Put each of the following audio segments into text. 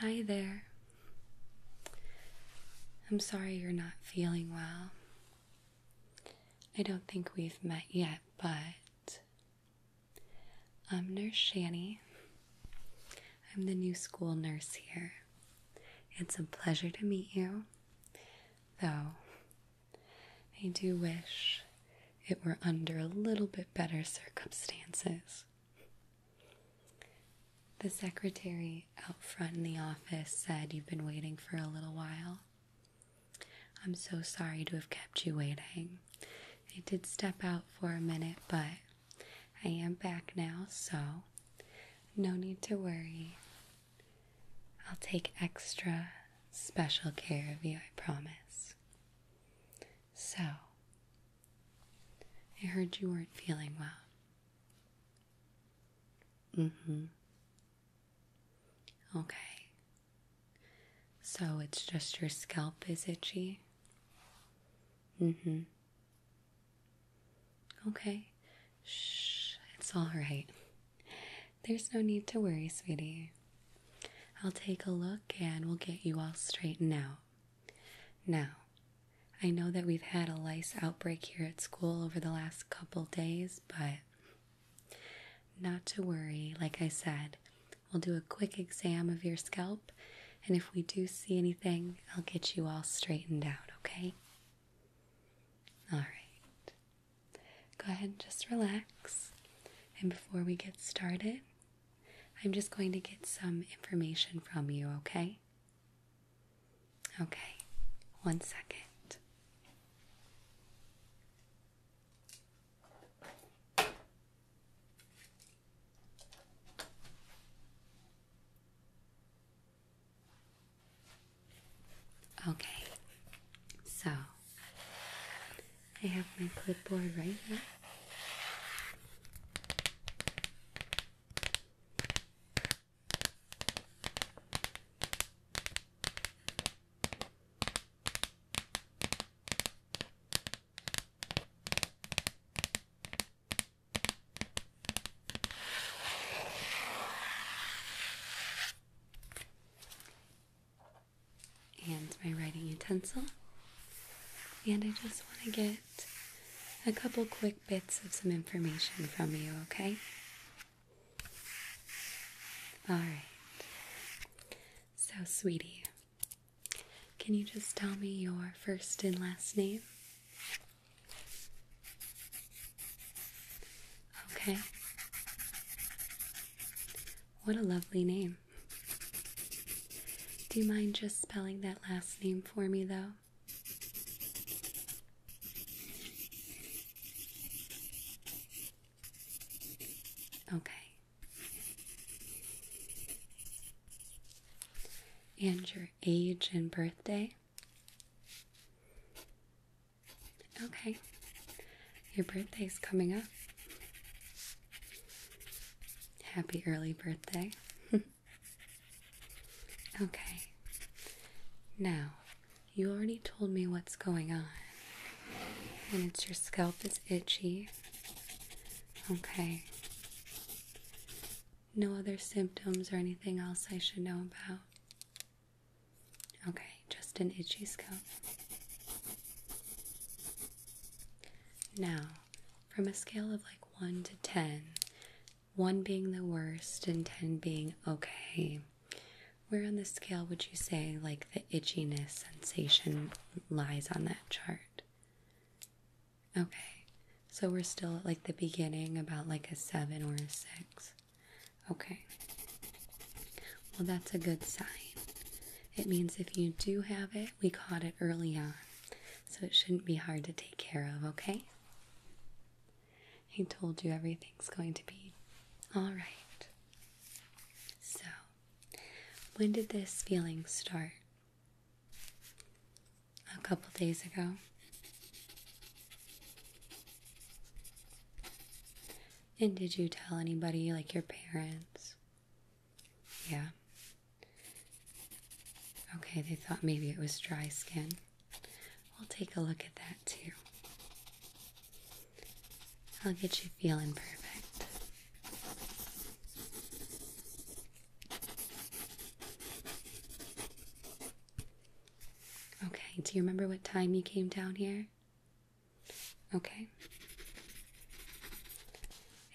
Hi there. I'm sorry you're not feeling well. I don't think we've met yet, but I'm Nurse Shanny. I'm the new school nurse here. It's a pleasure to meet you, though I do wish it were under a little bit better circumstances. The secretary out front in the office said you've been waiting for a little while. I'm so sorry to have kept you waiting. I did step out for a minute, but I am back now, so no need to worry. I'll take extra special care of you, I promise. So, I heard you weren't feeling well. Mm hmm. Okay. So it's just your scalp is itchy? Mm hmm. Okay. Shh, it's all right. There's no need to worry, sweetie. I'll take a look and we'll get you all straightened out. Now, I know that we've had a lice outbreak here at school over the last couple days, but not to worry, like I said, we'll do a quick exam of your scalp, and if we do see anything, I'll get you all straightened out, okay? All right. Go ahead and just relax. And before we get started, I'm just going to get some information from you, okay? Okay, one second. Okay, so I have my clipboard right here and my writing utensil. And I just want to get a couple quick bits of some information from you, okay? All right. So, sweetie, can you just tell me your first and last name? Okay. What a lovely name. Do you mind just spelling that last name for me, though? Okay. And your age and birthday? Okay. Your birthday is coming up. Happy early birthday. okay. Now, you already told me what's going on. And it's your scalp is itchy. Okay. No other symptoms or anything else I should know about? Okay, just an itchy scalp. Now, from a scale of like 1 to 10, 1 being the worst and 10 being okay, where on the scale would you say, like, the itchiness sensation lies on that chart? Okay, so we're still at like the beginning, about like a seven or a six. Okay, well, that's a good sign. It means if you do have it, we caught it early on, so it shouldn't be hard to take care of, okay? He told you everything's going to be all right. So, when did this feeling start? A couple days ago. And did you tell anybody, like your parents? Yeah. Okay, they thought maybe it was dry skin. We'll take a look at that too. I'll get you feeling perfect. Okay, do you remember what time you came down here? Okay.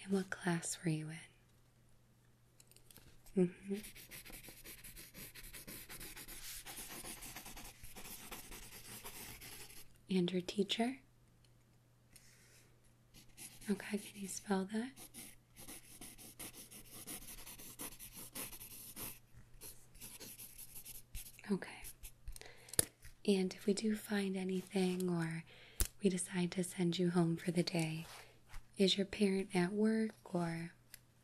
And what class were you in? Mm hmm. And your teacher? Okay, can you spell that? Okay. And if we do find anything or we decide to send you home for the day, is your parent at work or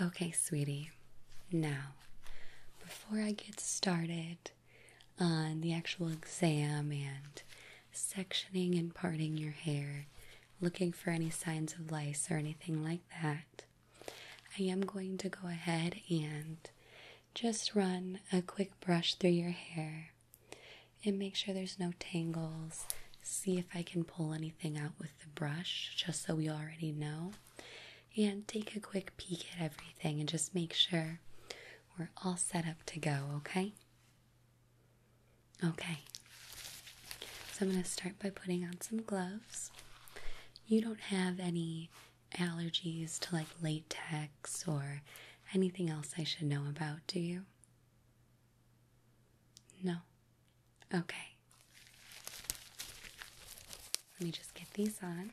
Okay, sweetie. Now, before I get started on the actual exam and sectioning and parting your hair, looking for any signs of lice or anything like that, I am going to go ahead and just run a quick brush through your hair and make sure there's no tangles. See if I can pull anything out with the brush, just so we already know. And take a quick peek at everything and just make sure we're all set up to go, okay? Okay. So I'm going to start by putting on some gloves. You don't have any allergies to like latex or anything else I should know about, do you? No? Okay. Let me just get these on.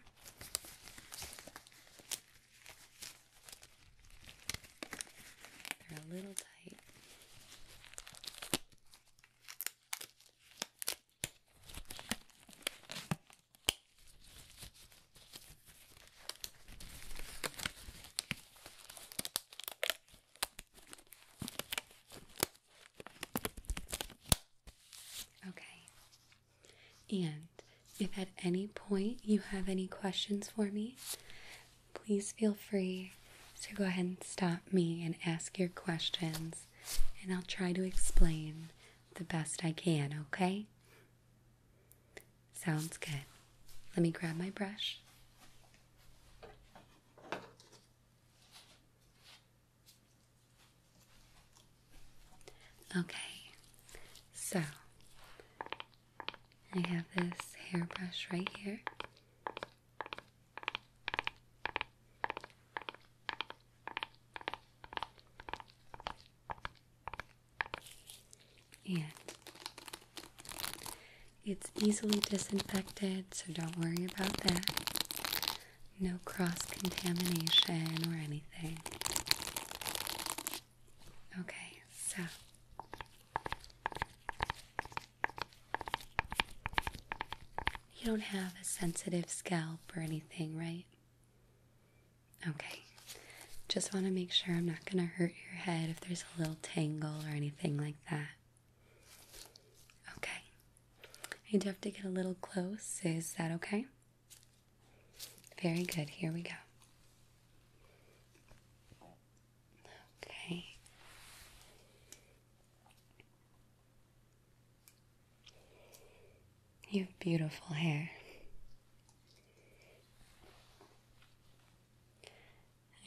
They're a little tight. Okay. And if at any point you have any questions for me, please feel free to go ahead and stop me and ask your questions and I'll try to explain the best I can, okay? Sounds good. Let me grab my brush. Okay, so I have this hairbrush right here. And it's easily disinfected, so don't worry about that. No cross contamination or anything. Okay, so you don't have a sensitive scalp or anything, right? Okay. Just want to make sure I'm not going to hurt your head if there's a little tangle or anything like that. Okay. I do have to get a little close. Is that okay? Very good. Here we go. Okay. You have beautiful hair.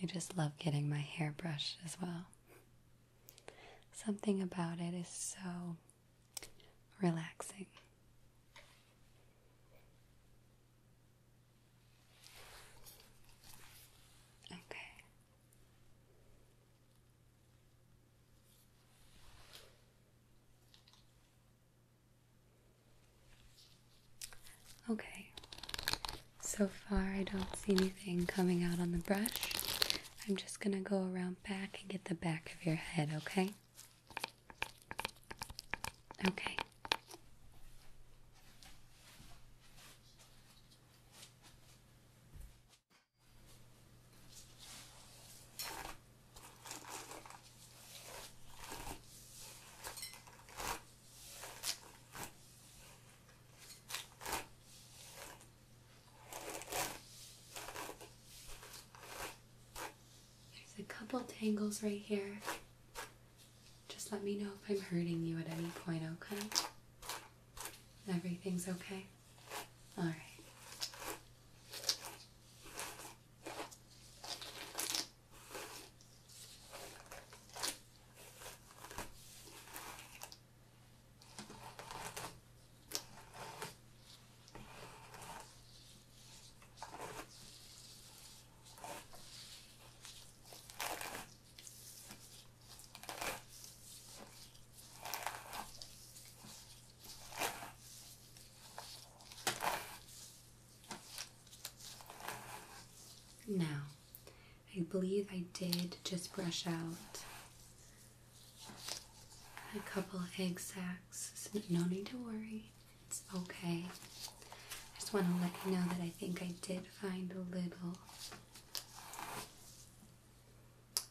I just love getting my hair brushed as well. Something about it is so relaxing. Okay. Okay, so far I don't see anything coming out on the brush. I'm just gonna go around back and get the back of your head, okay? Okay. There's a couple tangles right here. Just let me know if I'm hurting you at any point, okay? Everything's okay? Alright. Now, I believe I did just brush out a couple egg sacs, no need to worry, it's okay. I just want to let you know that I think I did find a little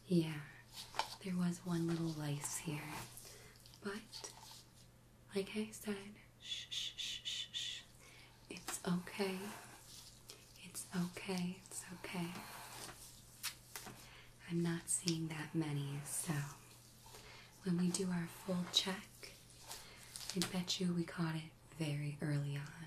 yeah, there was one little lace here, but like I said, shh, shh, shh, shh. it's okay. It's okay. It's okay. I'm not seeing that many, so when we do our full check, I bet you we caught it very early on.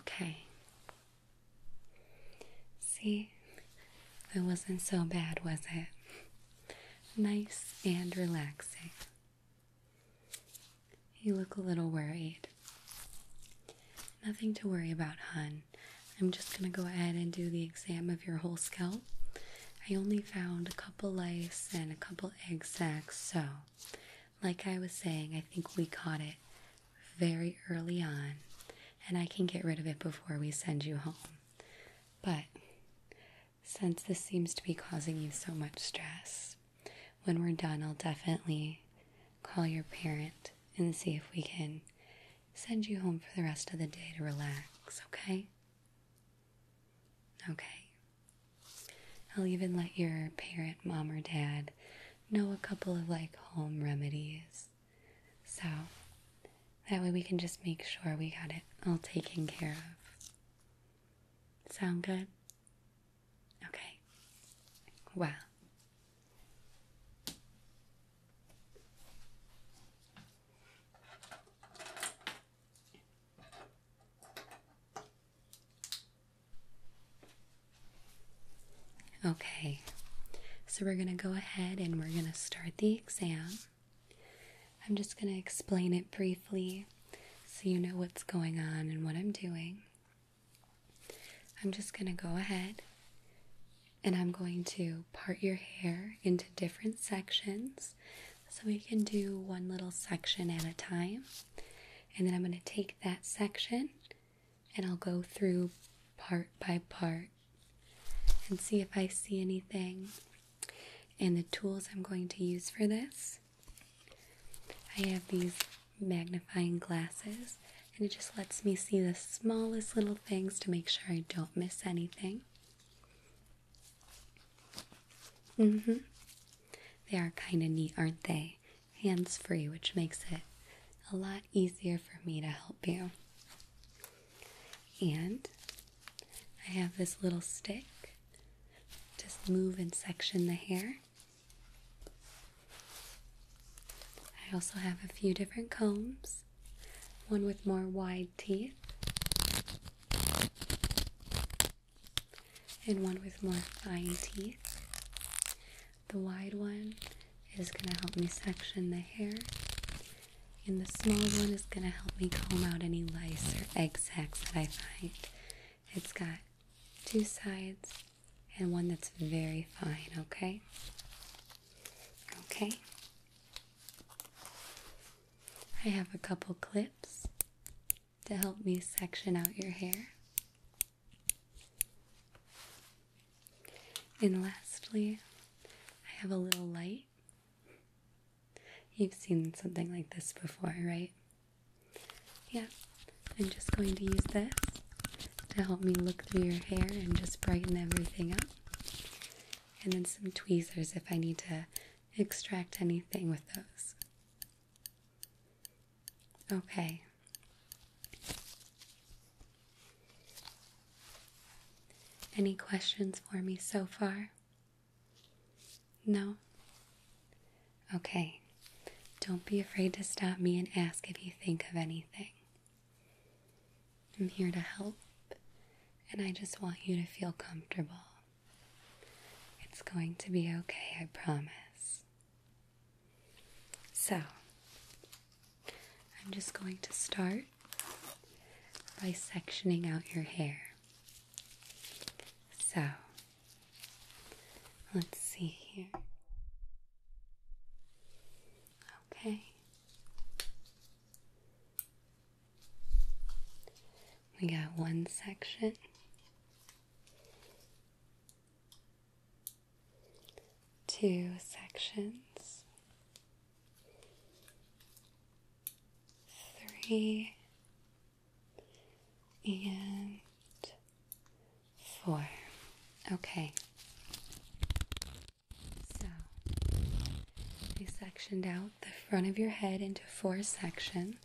Okay. See, it wasn't so bad, was it? Nice and relaxing. You look a little worried. Nothing to worry about, hun. I'm just going to go ahead and do the exam of your whole scalp I only found a couple lice and a couple egg sacs, so like I was saying, I think we caught it very early on, and I can get rid of it before we send you home. But since this seems to be causing you so much stress, when we're done, I'll definitely call your parent and see if we can send you home for the rest of the day to relax, okay? Okay. I'll even let your parent, mom, or dad know a couple of like home remedies. So that way we can just make sure we got it all taken care of. Sound good? Okay. Well. Okay, so we're going to go ahead and we're going to start the exam. I'm just going to explain it briefly so you know what's going on and what I'm doing. I'm just going to go ahead and I'm going to part your hair into different sections so we can do one little section at a time. And then I'm going to take that section and I'll go through part by part and see if I see anything. And the tools I'm going to use for this I have these magnifying glasses, and it just lets me see the smallest little things to make sure I don't miss anything. Mm hmm. They are kind of neat, aren't they? Hands free, which makes it a lot easier for me to help you. And I have this little stick. Just move and section the hair. I also have a few different combs, one with more wide teeth, and one with more fine teeth. The wide one is going to help me section the hair, and the small one is going to help me comb out any lice or egg sacs that I find. It's got two sides and one that's very fine, okay? Okay. I have a couple clips to help me section out your hair. And lastly, I have a little light. You've seen something like this before, right? Yeah, I'm just going to use this to help me look through your hair and just brighten everything up. And then some tweezers if I need to extract anything with those. Okay. Any questions for me so far? No? Okay. Don't be afraid to stop me and ask if you think of anything. I'm here to help, and I just want you to feel comfortable. It's going to be okay, I promise. So, I'm just going to start by sectioning out your hair. So, let's see here. Okay. We got one section two sections, three, and four. Okay. I sectioned out the front of your head into four sections.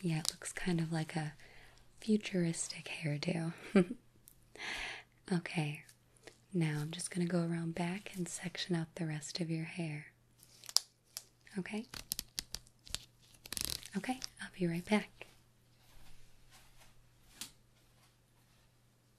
yeah, it looks kind of like a futuristic hairdo. okay, now I'm just going to go around back and section out the rest of your hair. Okay? Okay, I'll be right back.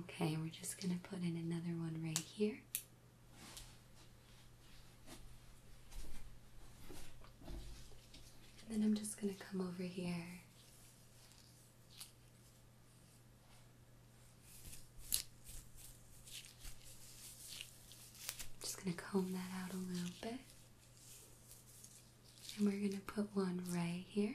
Okay, we're just going to put in another one right here. And then I'm just going to come over here. Just going to comb that out a little bit. And we're going to put one right here.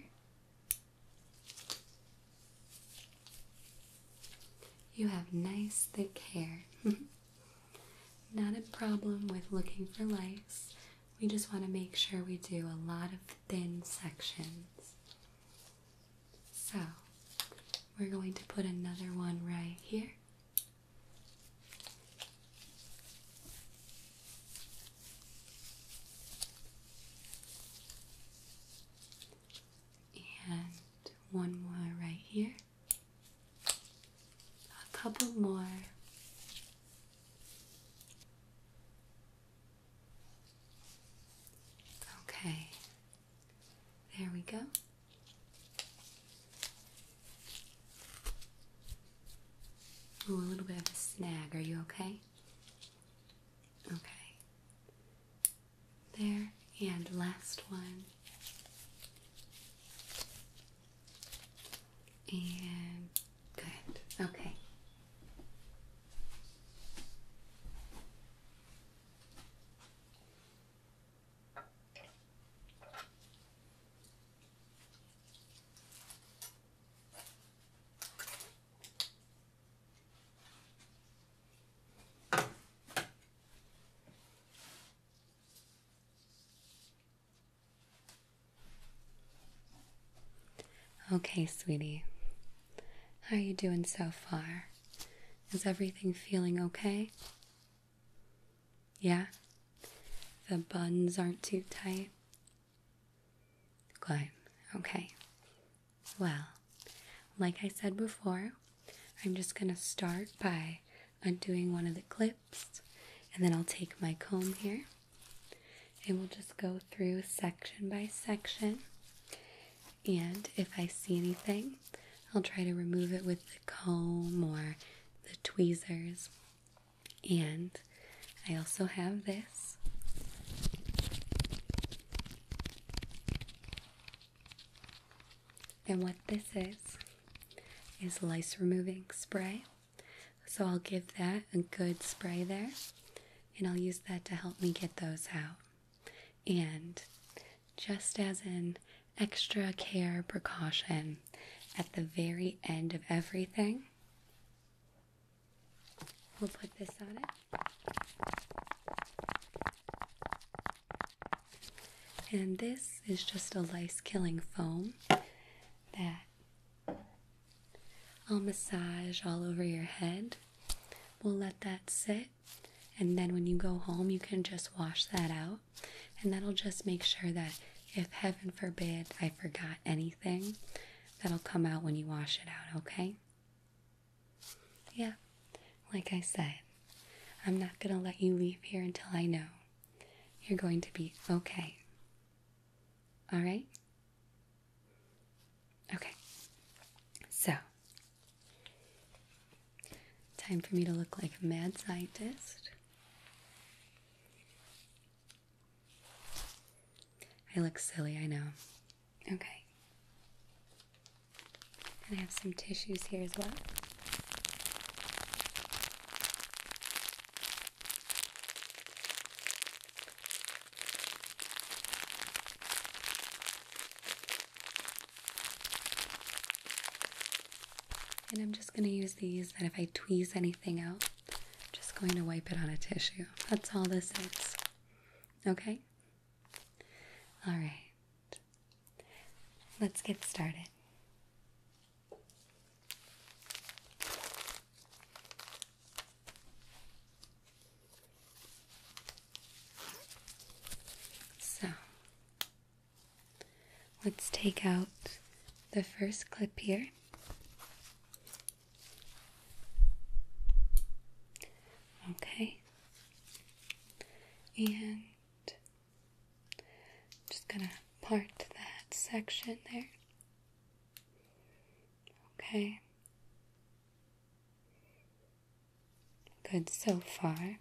You have nice thick hair. Not a problem with looking for lice. We just want to make sure we do a lot of thin sections. So, we're going to put another one right here. And one more right here. A couple more. Okay, there we go. Ooh, a little bit of a snag. Are you okay? Okay. There, and last one. And good. Okay. Okay, sweetie. How are you doing so far? Is everything feeling okay? Yeah? The buns aren't too tight? Good. Okay. Well, like I said before, I'm just going to start by undoing one of the clips and then I'll take my comb here and we'll just go through section by section. And if I see anything, I'll try to remove it with the comb or the tweezers. And I also have this. And what this is, is lice removing spray. So I'll give that a good spray there, and I'll use that to help me get those out. And just as an extra care precaution, at the very end of everything, We'll put this on it. And this is just a lice killing foam that I'll massage all over your head. We'll let that sit. And then when you go home, you can just wash that out. And that'll just make sure that if heaven forbid I forgot anything, that'll come out when you wash it out, okay? Yeah, like I said, I'm not going to let you leave here until I know you're going to be okay. All right? Okay. So, time for me to look like a mad scientist. I look silly, I know. Okay. And I have some tissues here as well. And I'm just going to use these that if I tweeze anything out, just going to wipe it on a tissue. That's all this is. Okay? All right. Let's get started. So, let's take out the first clip here. Okay. And just going to part that section there. Okay. Good so far.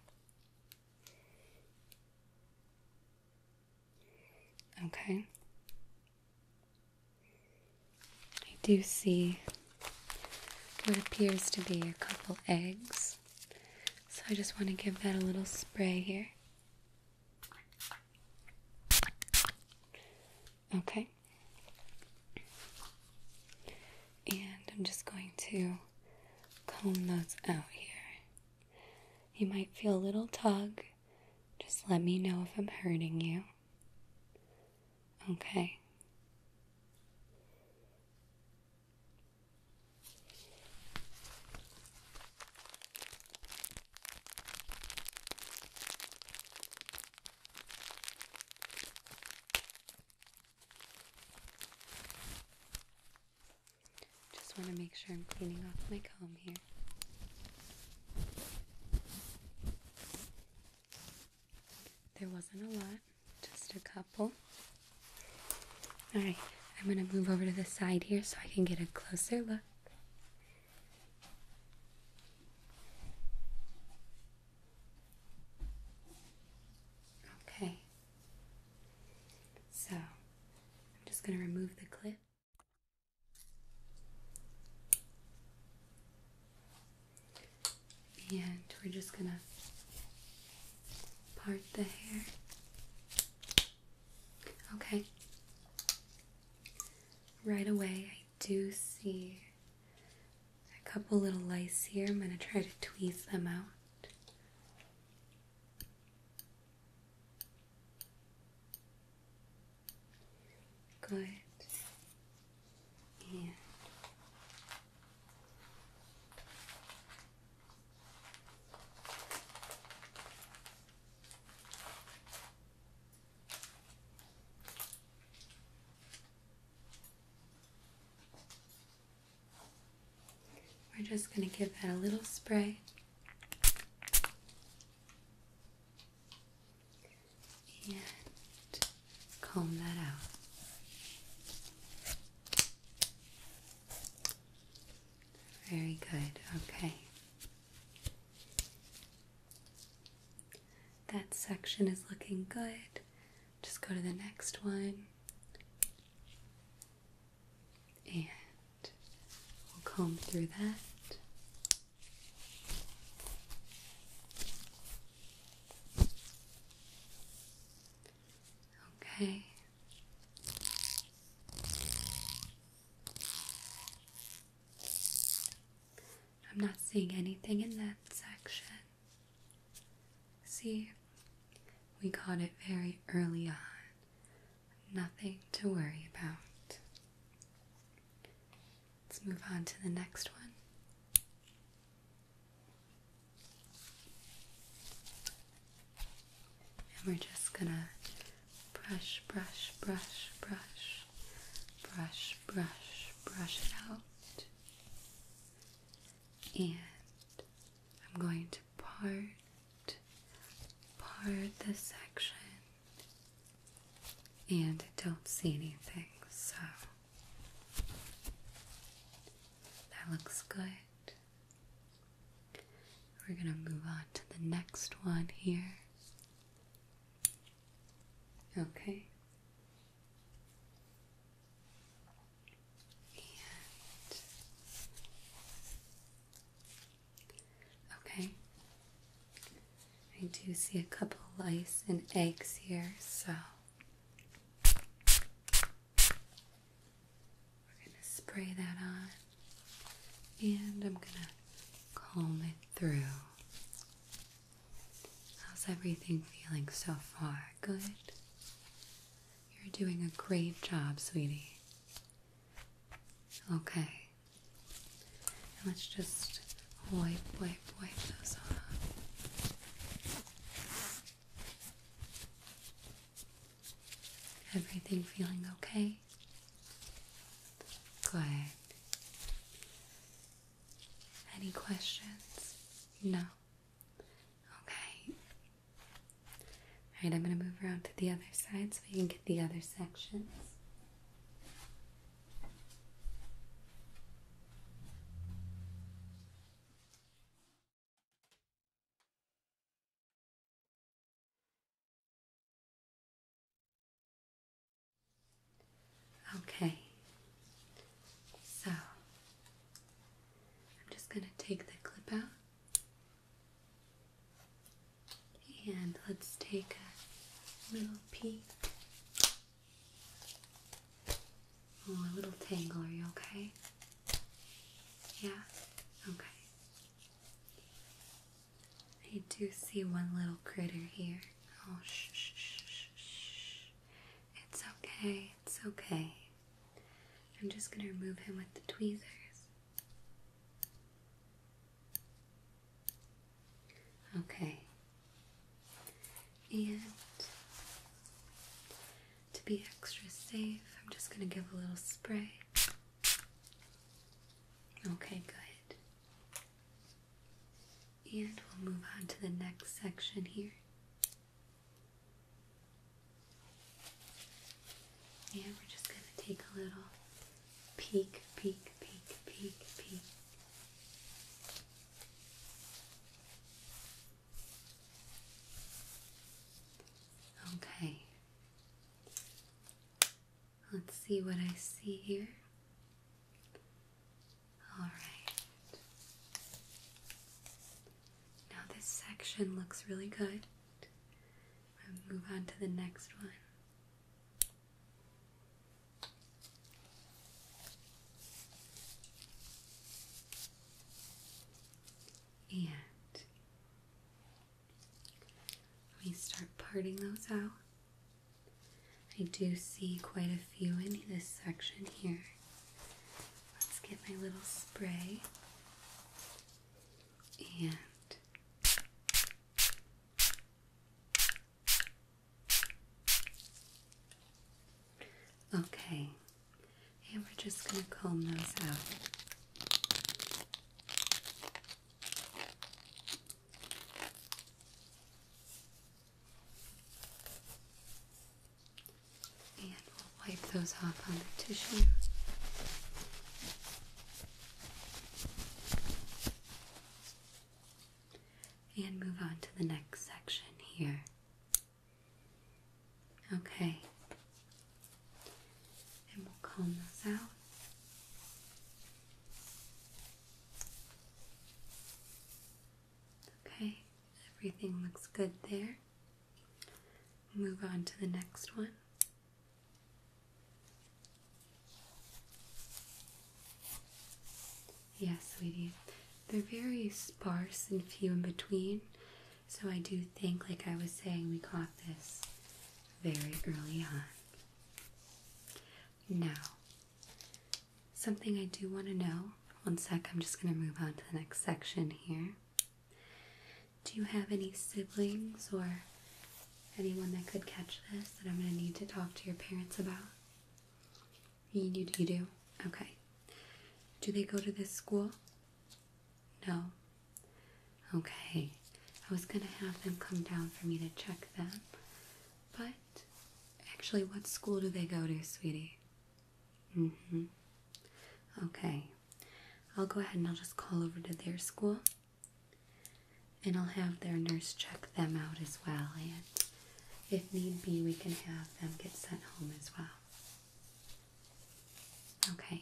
Okay. I do see what appears to be a couple eggs. So I just want to give that a little spray here. Okay. And I'm just going to comb those out here. You might feel a little tug just let me know if I'm hurting you. Okay. Just want to make sure I'm cleaning off my comb here. There wasn't a lot, just a couple. All right, I'm going to move over to the side here so I can get a closer look. Okay. So, I'm just going to remove the clip. And we're just gonna part the hair. Okay. Right away, I do see a couple little lice here. I'm gonna try to tweeze them out. Good. And we're just going to give that a little spray and comb that out. Very good. Okay. That section is looking good. Just go to the next one and we'll comb through that. Okay. I'm not seeing anything in that section. See, we caught it very early on. Nothing to worry about. Let's move on to the next one. And we're just gonna brush, brush, brush, brush, brush, brush, brush it out. And I'm going to part part the section and I don't see anything, so that looks good. We're gonna move on to the next one here. Okay. Okay. I do see a couple of lice and eggs here, so we're going to spray that on and I'm going to comb it through. How's everything feeling so far? Good? You're doing a great job, sweetie. Okay. And let's just wipe, wipe, wipe those off. Everything feeling okay? Good. Any questions? No. Okay. Alright, I'm going to move around to the other side so we can get the other sections. Okay, so I'm just going to take the clip out. And let's take a little peek. Oh, a little tangle, are you okay? Yeah? Okay. I do see one little critter here. Oh, shh, shh, shh, shh. It's okay, it's okay. I'm just gonna remove him with the tweezers. Okay. And to be extra safe, I'm just going to give a little spray. Okay, good. And we'll move on to the next section here. And we're just going to take a little peek, peek, peek, peek, peek. Okay. Let's see what I see here. All right. Now this section looks really good move on to the next one. And we start parting those out. I do see quite a few in this section here. Let's get my little spray and Okay, and we're just going to comb those out. And we'll wipe those off on the tissue. And move on to the next section here. Okay. And we'll comb those out. Okay, everything looks good there. Move on to the next one. Yes, sweetie. They're very sparse and few in between, so I do think, like I was saying, we caught this very early on. Now, something I do want to know. One sec, I'm just going to move on to the next section here. Do you have any siblings or anyone that could catch this that I'm going to need to talk to your parents about? You, do, you do? Okay. Do they go to this school? No. Okay. I was going to have them come down for me to check them. But actually, what school do they go to, sweetie? Mm hmm. Okay. I'll go ahead and I'll just call over to their school and I'll have their nurse check them out as well, and if need be, we can have them get sent home as well. Okay.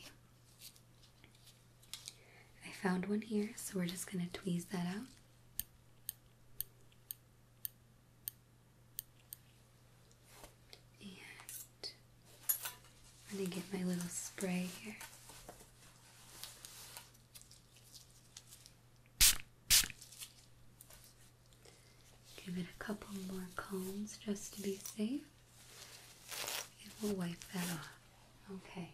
I found one here, so we're just going to tweeze that out. Let me get my little spray here. Give it a couple more combs just to be safe. And we'll wipe that off. Okay.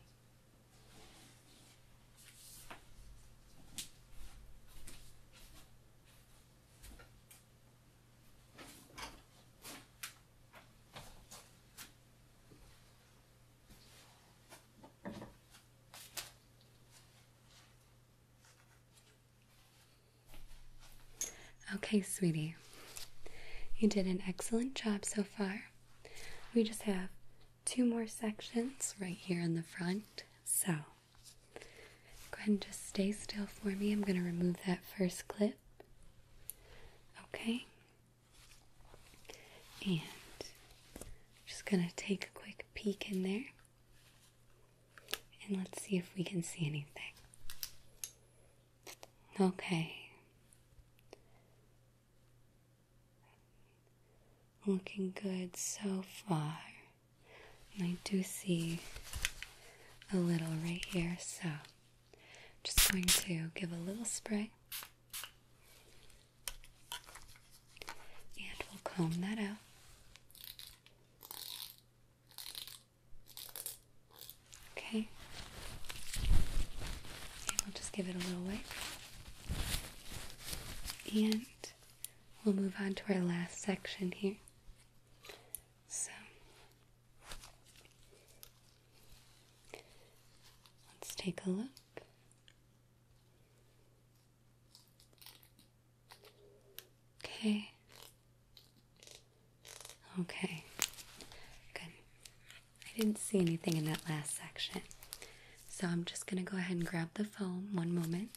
Okay, sweetie, you did an excellent job so far. We just have two more sections right here in the front. So go ahead and just stay still for me. I'm going to remove that first clip. Okay, and just gonna take a quick peek in there. And let's see if we can see anything. Okay. Looking good so far. I do see a little right here, so just going to give a little spray. And we'll comb that out. Okay. we'll just give it a little wipe, And we'll move on to our last section here. So Let's take a look. Okay. Okay. Good. I didn't see anything in that last section. So I'm just going to go ahead and grab the foam. One moment.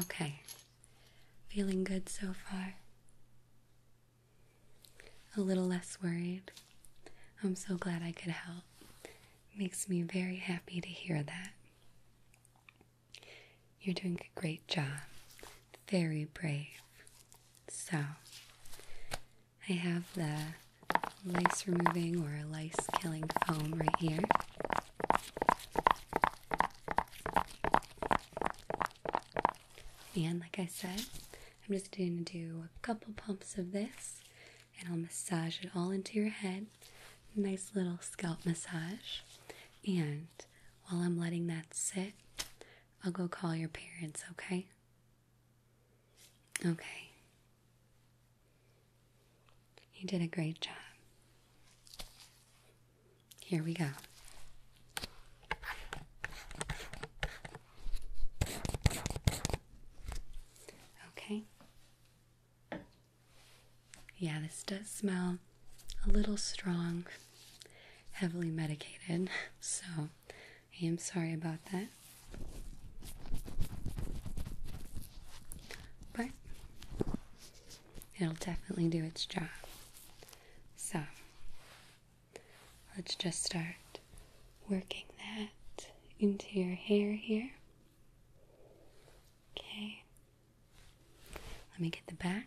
Okay, feeling good so far. A little less worried. I'm so glad I could help. Makes me very happy to hear that. You're doing a great job. Very brave. So, I have the lice removing or lice killing foam right here. And like I said, I'm just going to do a couple pumps of this and I'll massage it all into your head. Nice little scalp massage. And while I'm letting that sit, I'll go call your parents, okay? Okay. You did a great job. Here we go. Okay. Yeah, this does smell a little strong, heavily medicated, so I am sorry about that. But it'll definitely do its job. So, let's just start working that into your hair here. Okay. Let me get the back.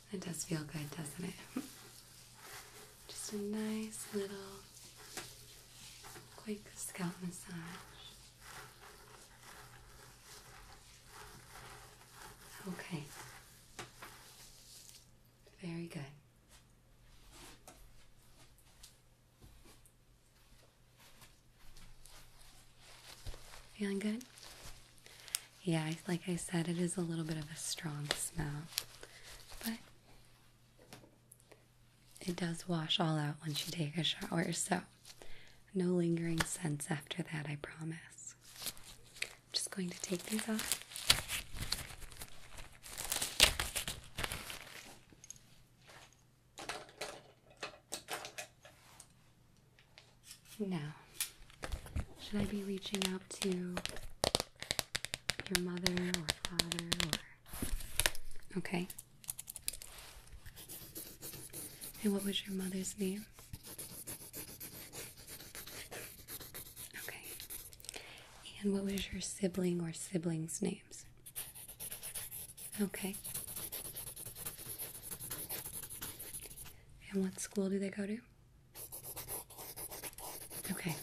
It does feel good, doesn't it? Just a nice little quick scalp massage. Okay. Very good. Feeling good? yeah, like I said, it is a little bit of a strong smell, but it does wash all out once you take a shower, so no lingering scents after that, I promise. just going to take these off. Now, should I be reaching out to your mother or father Okay. And what was your mother's name? Okay. And what was your sibling or siblings' names? Okay. And what school do they go to? Okay.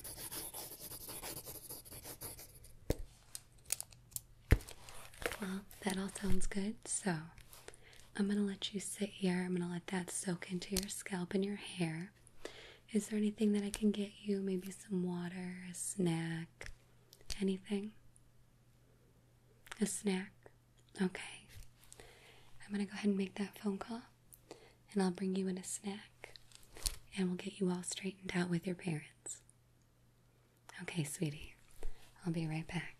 Well, that all sounds good. So, I'm going to let you sit here. I'm going to let that soak into your scalp and your hair. Is there anything that I can get you? Maybe some water, a snack, anything? A snack? Okay. I'm going to go ahead and make that phone call, and I'll bring you in a snack, and we'll get you all straightened out with your parents. Okay, sweetie. I'll be right back.